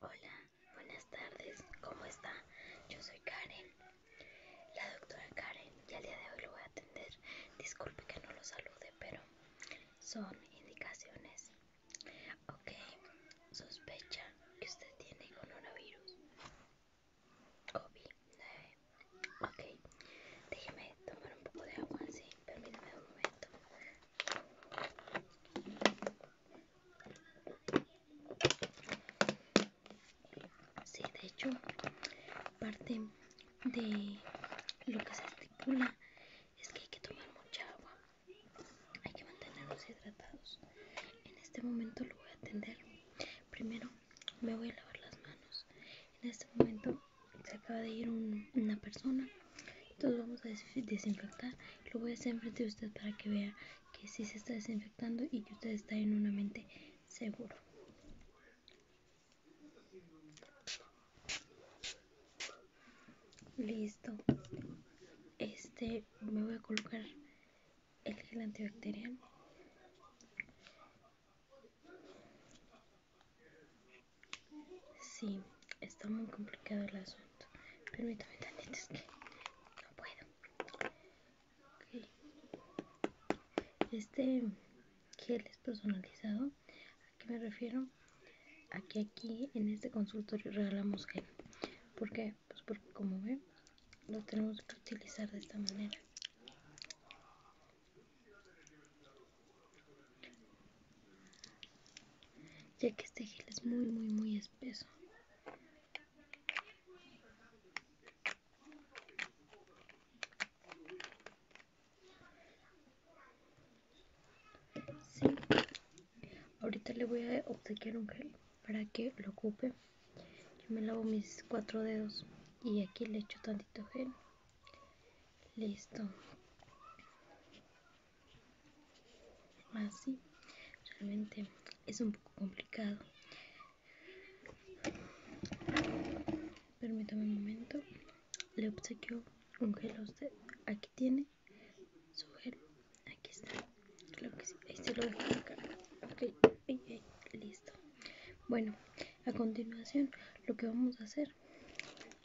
Hola, buenas tardes, ¿cómo está? Yo soy Karen, la doctora Karen, y al día de hoy lo voy a atender. Disculpe que no lo salude, pero son indicaciones. Ok, sospecha que usted tiene coronavirus. COVID-19. Ok, déjeme tomar un poco de agua, sí, permítame un momento. Sí, de hecho, parte de lo que se estipula es que hay que tomar mucha agua. Hay que mantenernos hidratados. En este momento lo voy a atender. Primero me voy a lavar las manos. En este momento se acaba de ir una persona entonces vamos a desinfectar lo voy a hacer frente de usted para que vea que sí se está desinfectando y que usted está en una mente seguro listo este me voy a colocar el gel antibacterial sí está muy complicado la zona Permítame también es que no puedo. Este gel es personalizado. ¿A qué me refiero? Aquí, aquí en este consultorio regalamos gel. ¿Por qué? Pues porque como ven, lo tenemos que utilizar de esta manera. ya que este gel es muy muy muy especial peso Ahorita le voy a obsequiar un gel para que lo ocupe. Yo me lavo mis cuatro dedos y aquí le echo tantito gel. Listo. Así, realmente es un poco complicado permítame un momento le obsequio un gel a usted aquí tiene su gel aquí está que lo listo bueno a continuación lo que vamos a hacer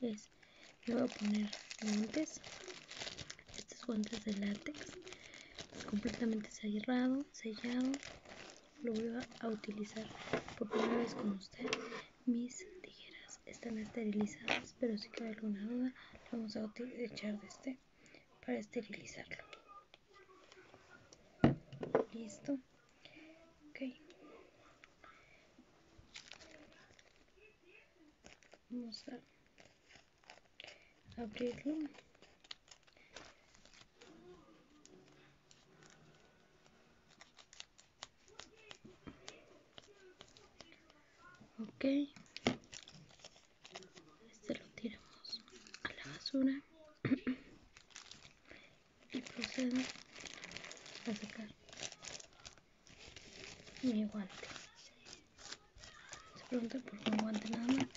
es le voy a poner guantes estos guantes de látex completamente cerrado sellado lo voy a utilizar por primera vez con usted mis tijeras están esterilizadas pero si queda alguna duda vamos a echar de este para esterilizarlo listo ok vamos a abrirlo okay este lo tiramos a la basura y procedo a sacar mi guante. Se pregunta por un guante nada más.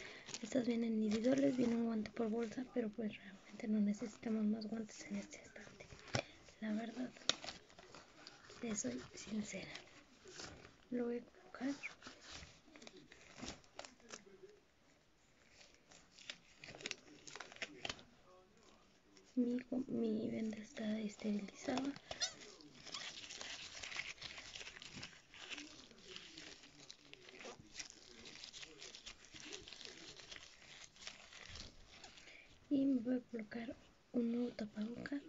Estas vienen individuales, viene un guante por bolsa, pero pues realmente no necesitamos más guantes en este estante. La verdad, soy sincera. Lo voy a colocar. Mi, mi venda está esterilizada y me voy a colocar un nuevo tapabocas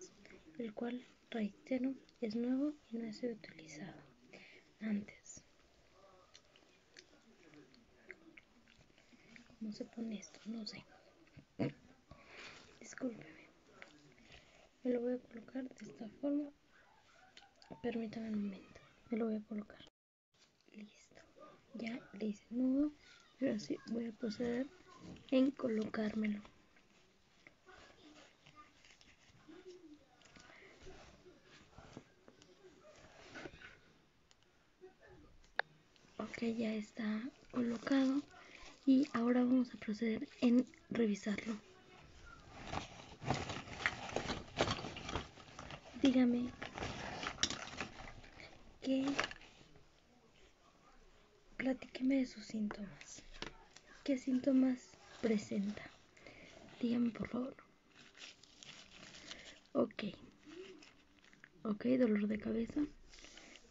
el cual reitero es nuevo y no ha sido utilizado antes cómo se pone esto no sé Discúlpeme. Me lo voy a colocar de esta forma. Permítame un momento. Me lo voy a colocar. Listo. Ya le hice nudo. Pero así voy a proceder en colocármelo. Ok, ya está colocado y ahora vamos a proceder en revisarlo dígame que platíqueme de sus síntomas qué síntomas presenta dígame por favor ok ok dolor de cabeza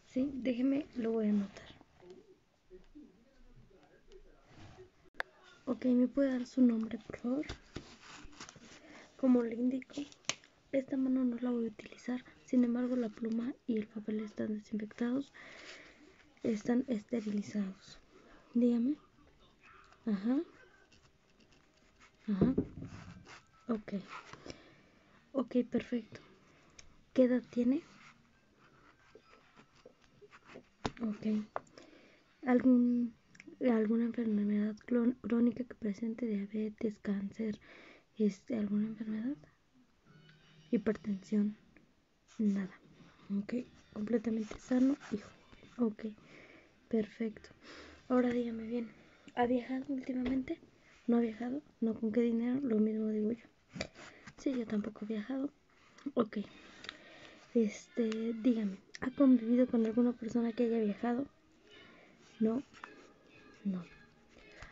sí déjeme lo voy a anotar Ok, ¿me puede dar su nombre, por favor? Como le indico, esta mano no la voy a utilizar, sin embargo la pluma y el papel están desinfectados, están esterilizados. Dígame. Ajá. Ajá. Ok. Ok, perfecto. ¿Qué edad tiene? Ok. ¿Alguna enfermedad crónica que presente diabetes, cáncer, este, alguna enfermedad? Hipertensión, nada. Ok, completamente sano hijo. Ok, perfecto. Ahora dígame bien, ¿ha viajado últimamente? ¿No ha viajado? ¿No con qué dinero? Lo mismo digo yo si yo tampoco he viajado. Ok. Este, dígame, ¿ha convivido con alguna persona que haya viajado? No. No.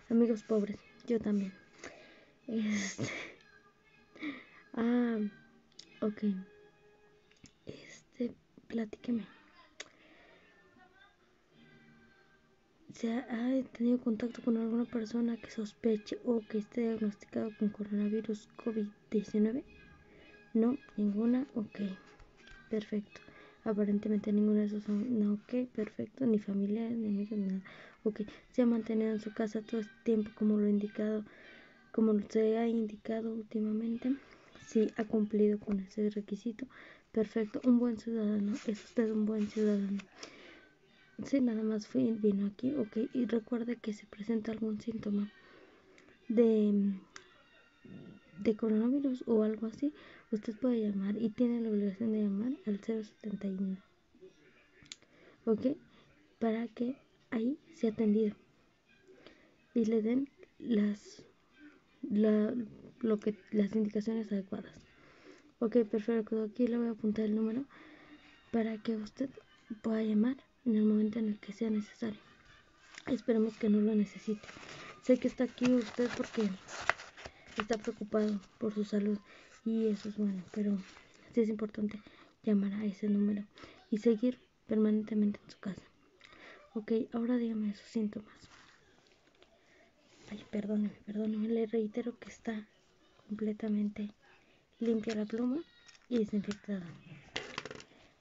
Amigos pobres, yo también. Este. Ah, ok. Este, platíqueme se ha tenido contacto con alguna persona que sospeche o que esté diagnosticado con coronavirus COVID-19? No, ninguna, ok, perfecto. Aparentemente ninguna de esos son, no, ok, perfecto, ni familia, ni nada. Ok, se ha mantenido en su casa todo este tiempo como lo indicado, como se ha indicado últimamente. Sí, ha cumplido con ese requisito. Perfecto, un buen ciudadano, es usted un buen ciudadano. Si nada más fue, vino aquí, ok. Y recuerde que si presenta algún síntoma de, de coronavirus o algo así, usted puede llamar y tiene la obligación de llamar al 071. Ok, para que ahí sea atendido y le den las la, lo que las indicaciones adecuadas. Ok, perfecto. Aquí le voy a apuntar el número para que usted pueda llamar en el momento en el que sea necesario. Esperemos que no lo necesite. Sé que está aquí usted porque está preocupado por su salud y eso es bueno, pero sí es importante llamar a ese número y seguir permanentemente en su casa. Ok, ahora dígame sus síntomas. Ay, perdóneme, perdóneme, le reitero que está completamente limpia la pluma y desinfectada.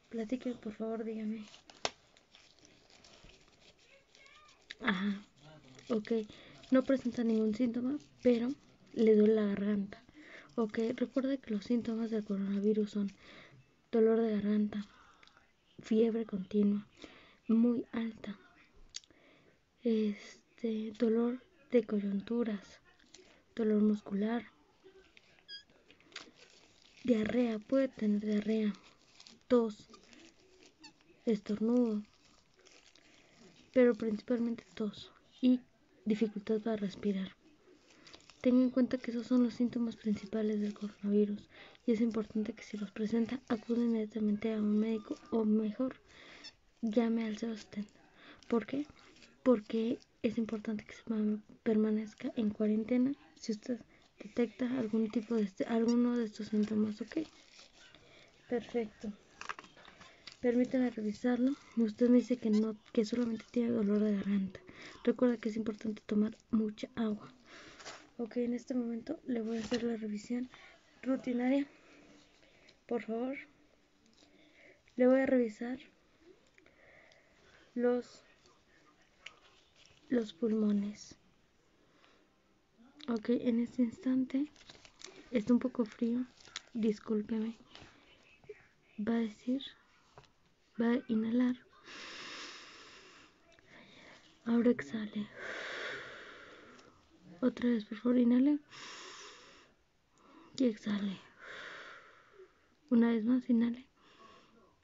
Platique, por favor, dígame. Ajá, ok. No presenta ningún síntoma, pero le duele la garganta. Ok, recuerde que los síntomas del coronavirus son dolor de garganta, fiebre continua, muy alta, este, dolor de coyunturas, dolor muscular, diarrea, puede tener diarrea, tos, estornudo, pero principalmente tos y dificultad para respirar. Tenga en cuenta que esos son los síntomas principales del coronavirus y es importante que si los presenta acude inmediatamente a un médico o mejor llame al estén. porque Porque es importante que se permanezca en cuarentena si usted detecta algún tipo de este, alguno de estos síntomas, ¿ok? Perfecto. Permítame revisarlo. Usted me dice que no, que solamente tiene dolor de garganta. Recuerda que es importante tomar mucha agua. Ok, en este momento le voy a hacer la revisión rutinaria por favor. Le voy a revisar los, los pulmones. Ok, en este instante está un poco frío. Discúlpeme. Va a decir, va a inhalar. Ahora exhale. Otra vez, por favor, inhale. Y exhale. Una vez más, inhale.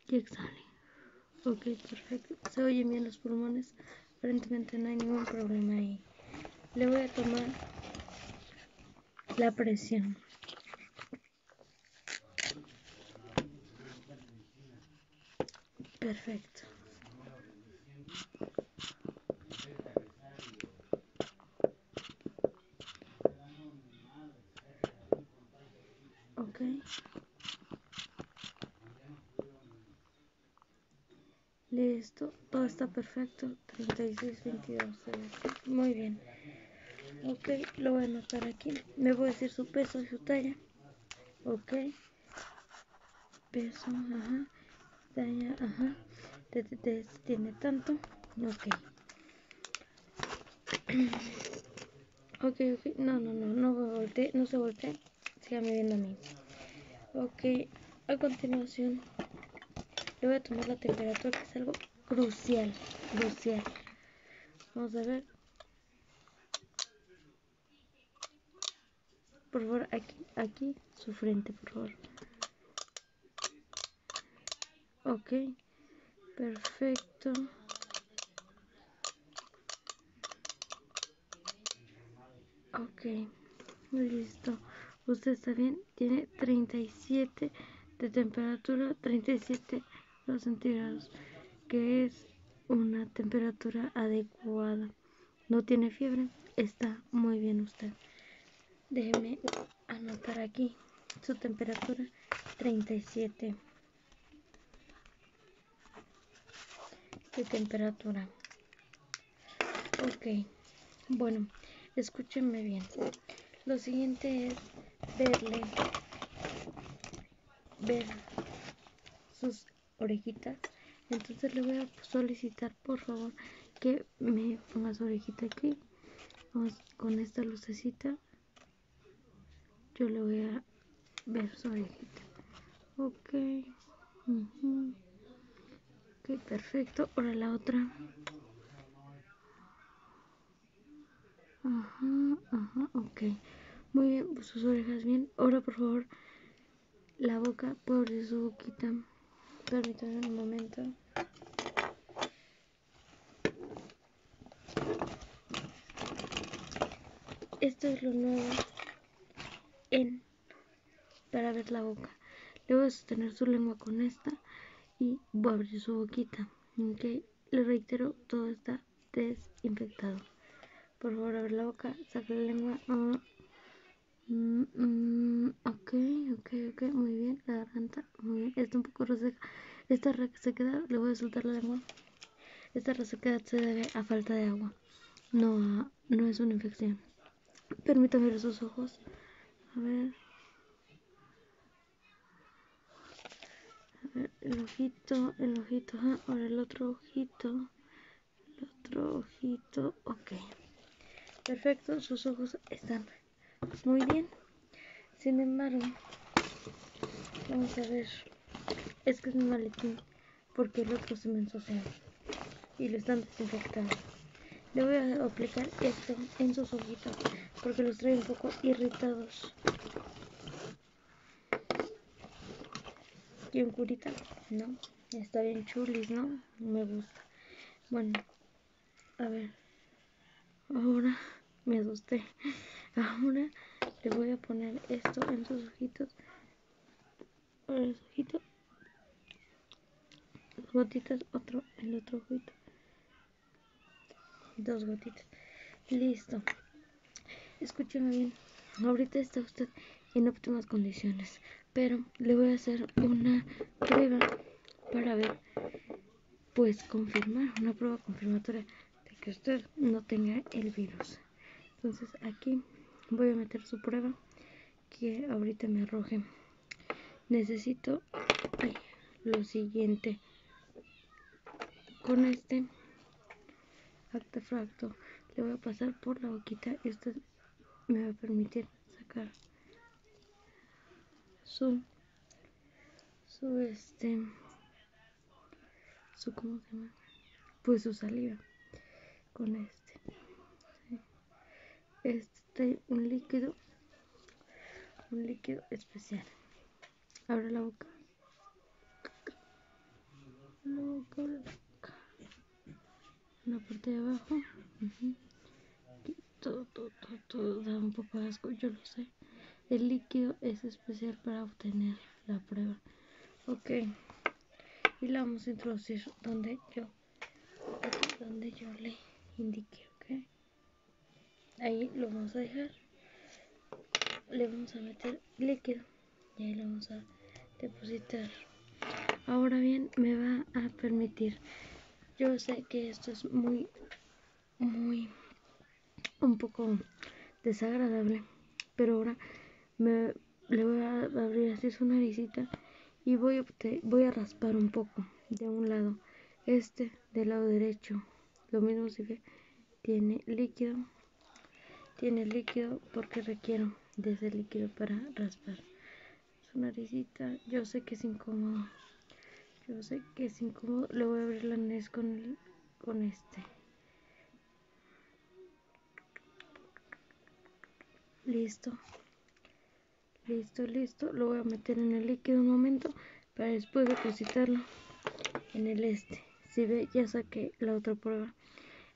Y exhale. Ok, perfecto. Se oyen bien los pulmones. Aparentemente no hay ningún problema ahí. Le voy a tomar la presión. Perfecto. Ok. Listo, todo está perfecto. veintidós, Muy bien. Ok, lo voy a anotar aquí. Me voy a decir su peso y su talla. Ok peso, ajá, daña, ajá, te, tiene tanto, ok. ok, ok, no, no, no, no volteé, no se voltee, siga mirando a mí. Ok, a continuación le voy a tomar la temperatura que es algo crucial, crucial. Vamos a ver. Por favor, aquí, aquí, su frente, por favor. Ok, perfecto. Ok, listo. Usted está bien, tiene 37 de temperatura, 37 grados centígrados, que es una temperatura adecuada. No tiene fiebre, está muy bien usted. Déjeme anotar aquí su temperatura 37. De temperatura. Ok, bueno, escúchenme bien. Lo siguiente es verle, ver sus orejitas. Entonces le voy a solicitar por favor que me ponga su orejita aquí. Vamos con esta lucecita. Yo le voy a ver su orejita. Ok. perfecto. Ahora la otra. Ajá, ajá, ok. Muy bien, pues sus orejas bien. Ahora por favor la boca, abrir su boquita. Permítanme un momento. Esto es lo nuevo en para ver la boca. Le voy a sostener su lengua con esta y voy a abrir su boquita. ¿okay? Le reitero, todo está desinfectado. Por favor, abre la boca, saca la lengua. Ah. Mmm ok, ok, ok, muy bien, la garganta, muy bien, está un poco reseca. Esta resequedad, le voy a soltar la lengua. Esta resequedad se debe a falta de agua, no, no es una infección. Permítame ver sus ojos. A ver. el ojito, el ojito, ahora el otro ojito. El otro ojito. Ok. Perfecto. Sus ojos están muy bien. Sin embargo, vamos a ver. Es que es un maletín. Porque el otro se me Y lo están desinfectando. Le voy a aplicar esto en sus ojitos. Porque los trae un poco irritados. ¿Quién curita? No. Está bien chulis, ¿no? me gusta. Bueno, a ver. Ahora me asusté. Ahora le voy a poner esto en sus ojitos. En los ojitos. Dos gotitas, otro, el otro ojito. Dos gotitas. Listo. Escúchame bien. Ahorita está usted en óptimas condiciones. Pero le voy a hacer una prueba para ver, pues confirmar, una prueba confirmatoria de que usted no tenga el virus. Entonces aquí voy a meter su prueba que ahorita me arroje. Necesito lo siguiente. Con este artefacto le voy a pasar por la boquita y esto me va a permitir sacar su su este su como se llama pues su saliva con este este un líquido un líquido especial abre la boca la parte de abajo. todo, todo, todo, da un poco de asco, yo lo sé. El líquido es especial para obtener la prueba. Ok. Y la vamos a introducir donde yo donde yo le indique ok. Ahí lo vamos a dejar. Le vamos a meter líquido. Y ahí lo vamos a depositar. Ahora bien, me va a permitir. Yo sé que esto es muy, muy, un poco desagradable, pero ahora me, le voy a abrir así su visita y voy a, voy a raspar un poco de un lado, este del lado derecho. Lo mismo si tiene líquido, tiene líquido porque requiero de ese líquido para raspar su naricita. Yo sé que es incómodo. Yo sé que es incómodo. Le voy a abrir la nariz con, con este. Listo. Listo, listo. Lo voy a meter en el líquido un momento para después depositarlo en el este. Si ve, ya saqué la otra prueba.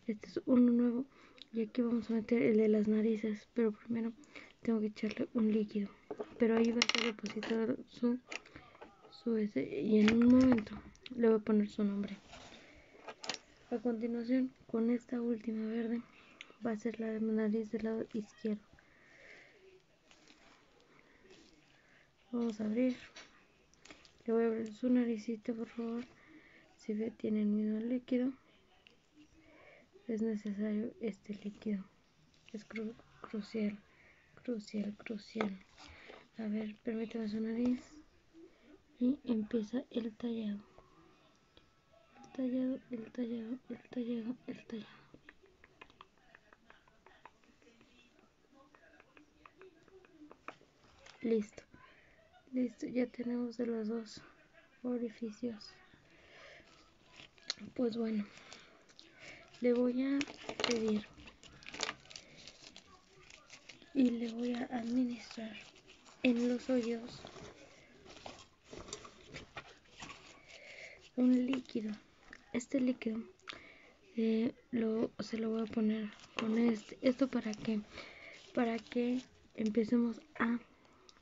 Este es uno nuevo. Y aquí vamos a meter el de las narices. Pero primero tengo que echarle un líquido. Pero ahí va a ser depositado su, su Y en un momento le voy a poner su nombre. A continuación, con esta última verde, va a ser la de nariz del lado izquierdo. Vamos a abrir. Le voy a abrir su naricito por favor. Si ve, tiene el mismo líquido. Es necesario este líquido. Es crucial, crucial, crucial. A ver, permíteme su nariz. Y empieza el tallado. El tallado, el tallado, el tallado, el tallado. Listo. Listo, ya tenemos de los dos orificios pues bueno le voy a pedir y le voy a administrar en los hoyos un líquido este líquido eh, se lo voy a poner con este, esto para que para que empecemos a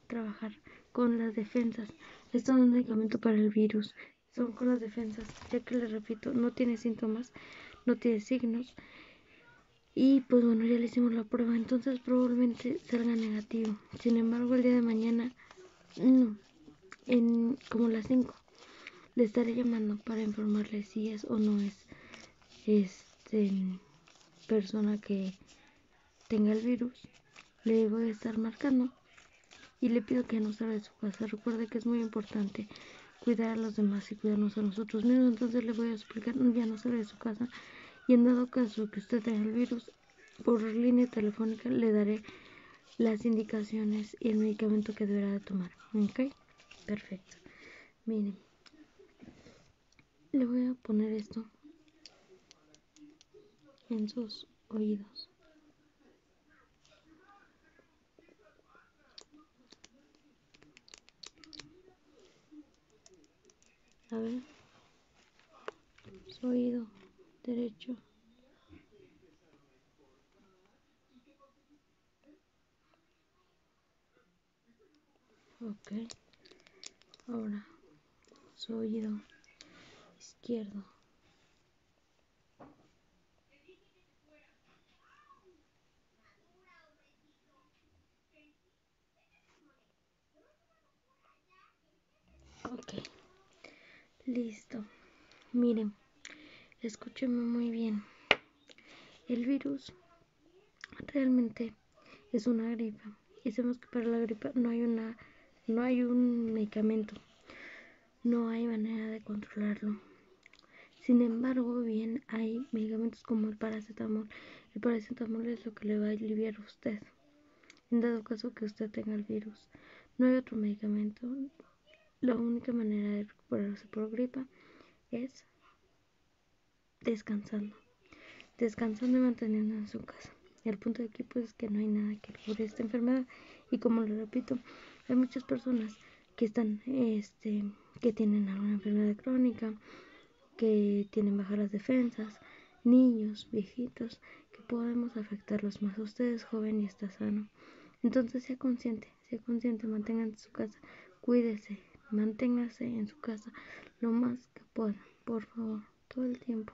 trabajar con las defensas. Esto es un medicamento para el virus, son con las defensas, ya que les repito, no tiene síntomas, no tiene signos. Y pues bueno, ya le hicimos la prueba, entonces probablemente salga negativo. Sin embargo, el día de mañana, en como las 5, le estaré llamando para informarle si es o no es este persona que tenga el virus, le voy a estar marcando y le pido que no salga de su casa. Recuerde que es muy importante cuidar a los demás y cuidarnos a nosotros mismos. Entonces le voy a explicar, ya no salga de su casa y en dado caso que usted tenga el virus, por línea telefónica le daré las indicaciones y el medicamento que deberá tomar. ¿Ok? Perfecto. Miren. Le voy a poner esto en sus oídos. A ver, su oído derecho. Okay, ahora su oído izquierdo Okay, listo miren escúcheme muy bien el virus realmente es una gripa y sabemos que para la gripa no hay una no hay un medicamento no hay manera de controlarlo sin embargo bien hay medicamentos como el paracetamol el paracetamol es lo que le va a aliviar a usted en dado caso que usted tenga el virus no hay otro medicamento la única manera de recuperarse por gripa es descansando, descansando y manteniendo en su casa. El punto de aquí pues es que no hay nada que cubre esta enfermedad y como lo repito, hay muchas personas que están, este, que tienen alguna enfermedad crónica, que tienen bajas defensas, niños, viejitos, que podemos afectarlos más. Usted es joven y está sano. Entonces sea consciente, sea consciente, manténganse en su casa, cuídese, manténgase en su casa lo más que puedan, por favor, todo el tiempo.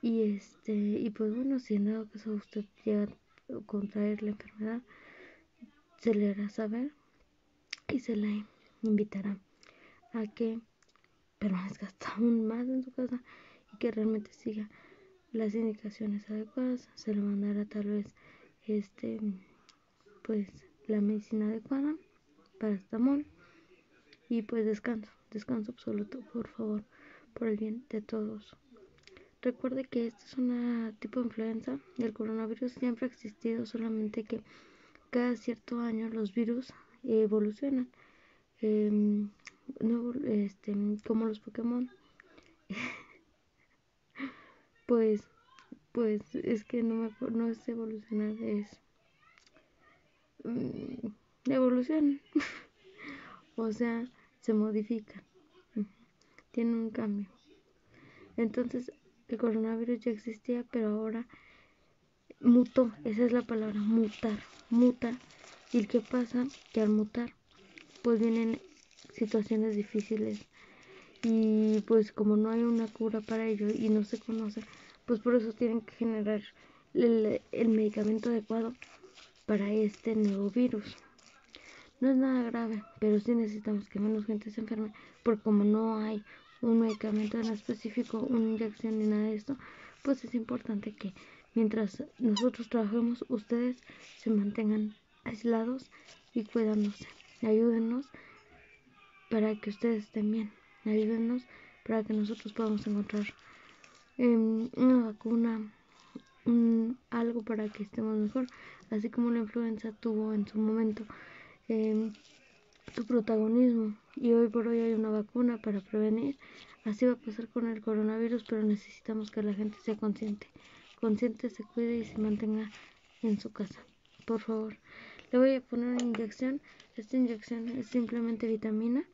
Y este, y pues bueno, si en dado caso usted llega a contraer la enfermedad, se le hará saber y se le invitará a que permanezca hasta aún más en su casa y que realmente siga las indicaciones adecuadas. Se le mandará tal vez este pues la medicina adecuada, Para amor y pues descanso, descanso absoluto, por favor, por el bien de todos. Recuerde que este es un tipo de influenza, del coronavirus siempre ha existido, solamente que cada cierto año los virus evolucionan, em, no, este, como los Pokémon. pues, pues es que no, me, no es evolucionar, es la mm, evolución o sea, se modifica Tiene un cambio. Entonces, el coronavirus ya existía, pero ahora mutó. Esa es la palabra, mutar. Muta. ¿Y qué pasa? Que al mutar, pues vienen situaciones difíciles. Y pues como no hay una cura para ello y no se conoce, pues por eso tienen que generar el, medicamento adecuado para este nuevo virus. No es nada grave, pero sí necesitamos que menos gente se enferme, porque como no hay un medicamento en específico, una inyección ni nada de esto, pues es importante que mientras nosotros trabajemos, ustedes se mantengan aislados y cuidándose. Ayúdenos para que ustedes estén bien. Ayúdenos para que nosotros podamos encontrar em, una vacuna, algo para que estemos mejor, así como la influenza tuvo en su momento em, su protagonismo. Y hoy por hoy hay una vacuna para prevenir. Así va a pasar con el coronavirus, pero necesitamos que la gente sea consciente, consciente se cuide y se mantenga en su casa por favor. Le voy a poner una inyección. Esta inyección es simplemente vitamina,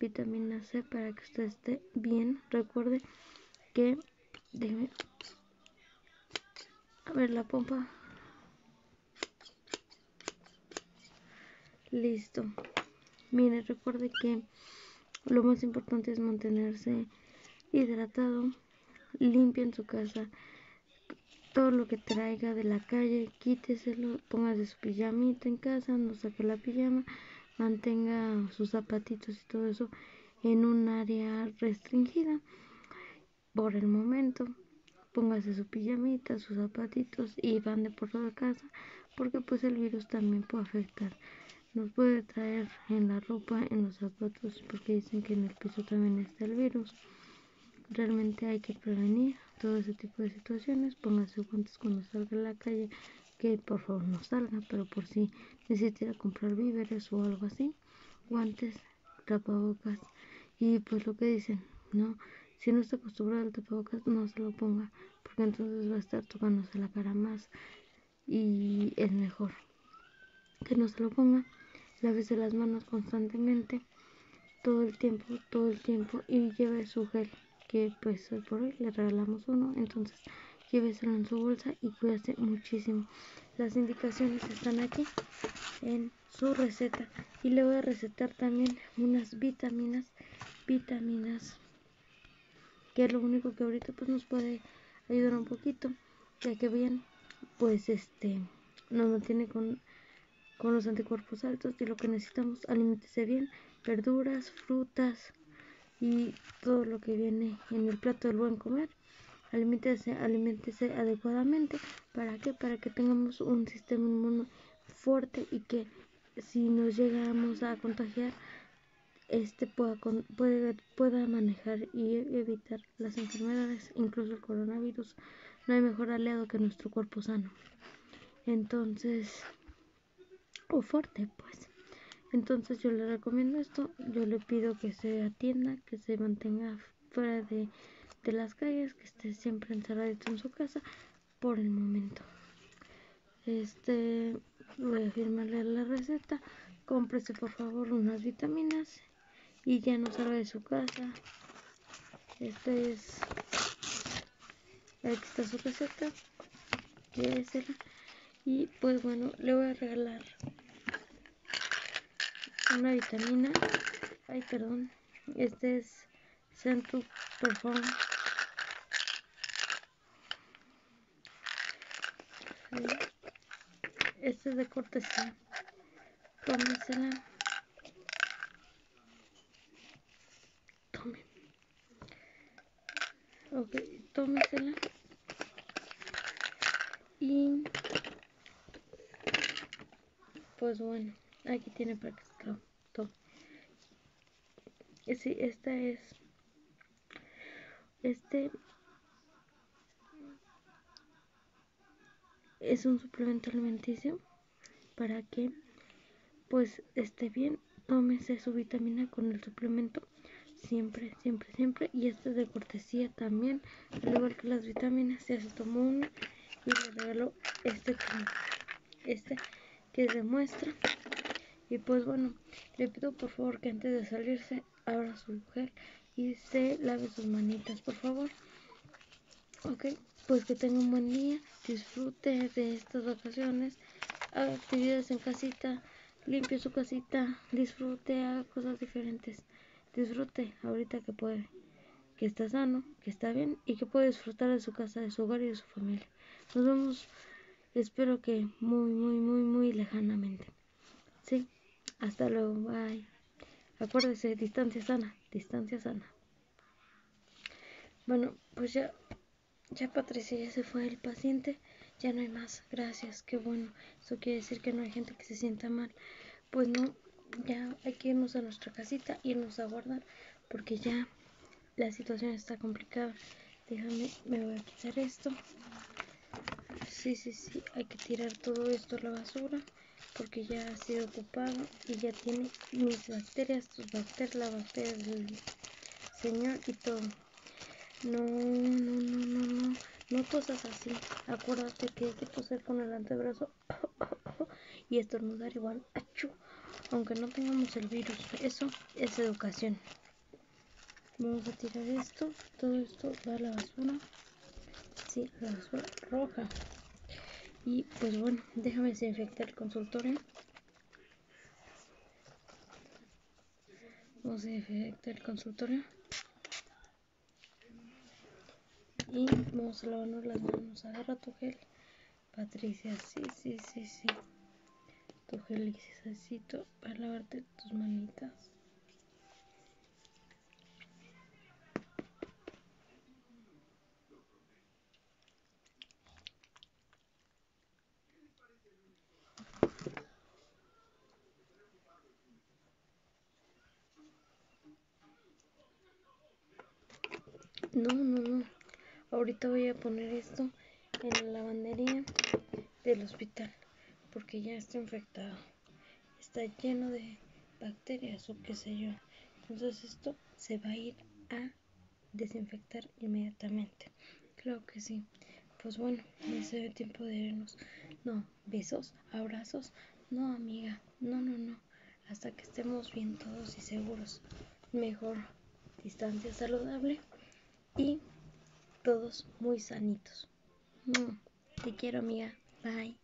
vitamina C para que usted esté bien. Recuerde que, déjeme, a ver la pompa. Listo. Mire, recuerde que lo más importante es mantenerse hidratado, limpio en su casa todo lo que traiga de la calle, quíteselo, póngase su pijamita en casa, no saque la pijama, mantenga sus zapatitos y todo eso en un área restringida por el momento. Póngase su pijamita, sus zapatitos y van de por toda casa porque pues el virus también puede afectar. Nos puede traer en la ropa, en los zapatos porque dicen que en el piso también está el virus realmente hay que prevenir todo ese tipo de situaciones. ponerse guantes cuando salga a la calle, que por favor no salga, pero por si necesita ir a comprar víveres o algo así, guantes, tapabocas y pues lo que dicen, ¿no? Si no está acostumbrado al tapabocas, no se lo ponga, porque entonces va a estar tocándose la cara más y es mejor que no se lo ponga. Lávese las manos constantemente todo el tiempo, todo el tiempo y lleve su gel, que pues hoy por hoy le regalamos uno, entonces lléveselo en su bolsa y hace muchísimo. Las indicaciones están aquí en su receta y le voy a recetar también unas vitaminas, vitaminas, que es lo único que ahorita pues nos puede ayudar un poquito, ya que bien, pues este, nos mantiene con con los anticuerpos altos y lo que necesitamos, aliméntese bien, verduras, frutas y todo lo que viene en el plato del buen comer. Aliméntese, adecuadamente. ¿Para qué? Para que tengamos un sistema inmune fuerte y que si nos llegamos a contagiar, este pueda, pueda manejar y evitar las enfermedades, incluso el coronavirus no hay mejor aliado que nuestro cuerpo sano. Entonces, o fuerte, pues. Entonces yo le recomiendo esto, yo le pido que se atienda, que se mantenga fuera de, las calles, que esté siempre encerradito en su casa por el momento. Este, voy a firmarle la receta. Cómprese por favor unas vitaminas y ya no sale de su casa. Este es. Aquí está su receta. Y pues bueno, le voy a regalar una vitamina. Ay, perdón. Este es Centu Perform. Este es de cortesía. Tómesela. Tome. Ok, tómesela. Y pues bueno, aquí tiene para que se tome. Sí, esta es. Este es un suplemento alimenticio para que pues esté bien, tómese su vitamina con el suplemento siempre, siempre, siempre y este de cortesía también, al igual que las vitaminas, ya se tomó una y le regaló este que, este que es de muestra y pues bueno, le pido por favor que antes de salirse abra su mujer y se lave sus manitas por favor Ok, pues que tenga un buen día, disfrute de estas vacaciones, haga actividades en casita, limpie su casita, disfrute, haga cosas diferentes, disfrute ahorita que puede, que está sano, que está bien y que puede disfrutar de su casa, de su hogar y de su familia. Nos vemos, espero que muy, muy, muy, muy lejanamente. Sí, hasta luego, bye. Acuérdese, distancia sana, distancia sana. Bueno, pues ya, ya Patricia ya se fue el paciente, ya no hay más, gracias, qué bueno, eso quiere decir que no hay gente que se sienta mal. Pues no, ya hay que irnos a nuestra casita, irnos a guardar, porque ya la situación está complicada. Déjame, me voy a quitar esto. Sí, sí, sí, hay que tirar todo esto a la basura porque ya ha sido ocupado y ya tiene mis bacterias, Tus bacterias, la bacteria del señor y todo. No, no, no, no, no, no tosas así. Acuérdate que hay que toser con el antebrazo y estornudar igual. Aunque no tengamos el virus, eso es educación. Vamos a tirar esto, todo esto va a la basura. Sí, la basura roja. Y pues bueno, déjame desinfectar el consultorio. Vamos a desinfectar el consultorio. Y vamos a lavarnos las manos. Agarra tu gel. Patricia, sí, sí, sí, sí. Tu gel necesito para lavarte tus manitas. No, no, no. Ahorita voy a poner esto en la lavandería del hospital porque ya está infectado. Está lleno de bacterias o qué sé yo. Entonces esto se va a ir a desinfectar inmediatamente. Claro que sí. Pues bueno, ya se tiempo de vernos No, besos, abrazos. No, amiga. No, no, no. Hasta que estemos bien todos y seguros. Mejor distancia saludable y todos muy sanitos. Mm, te quiero, amiga. Bye.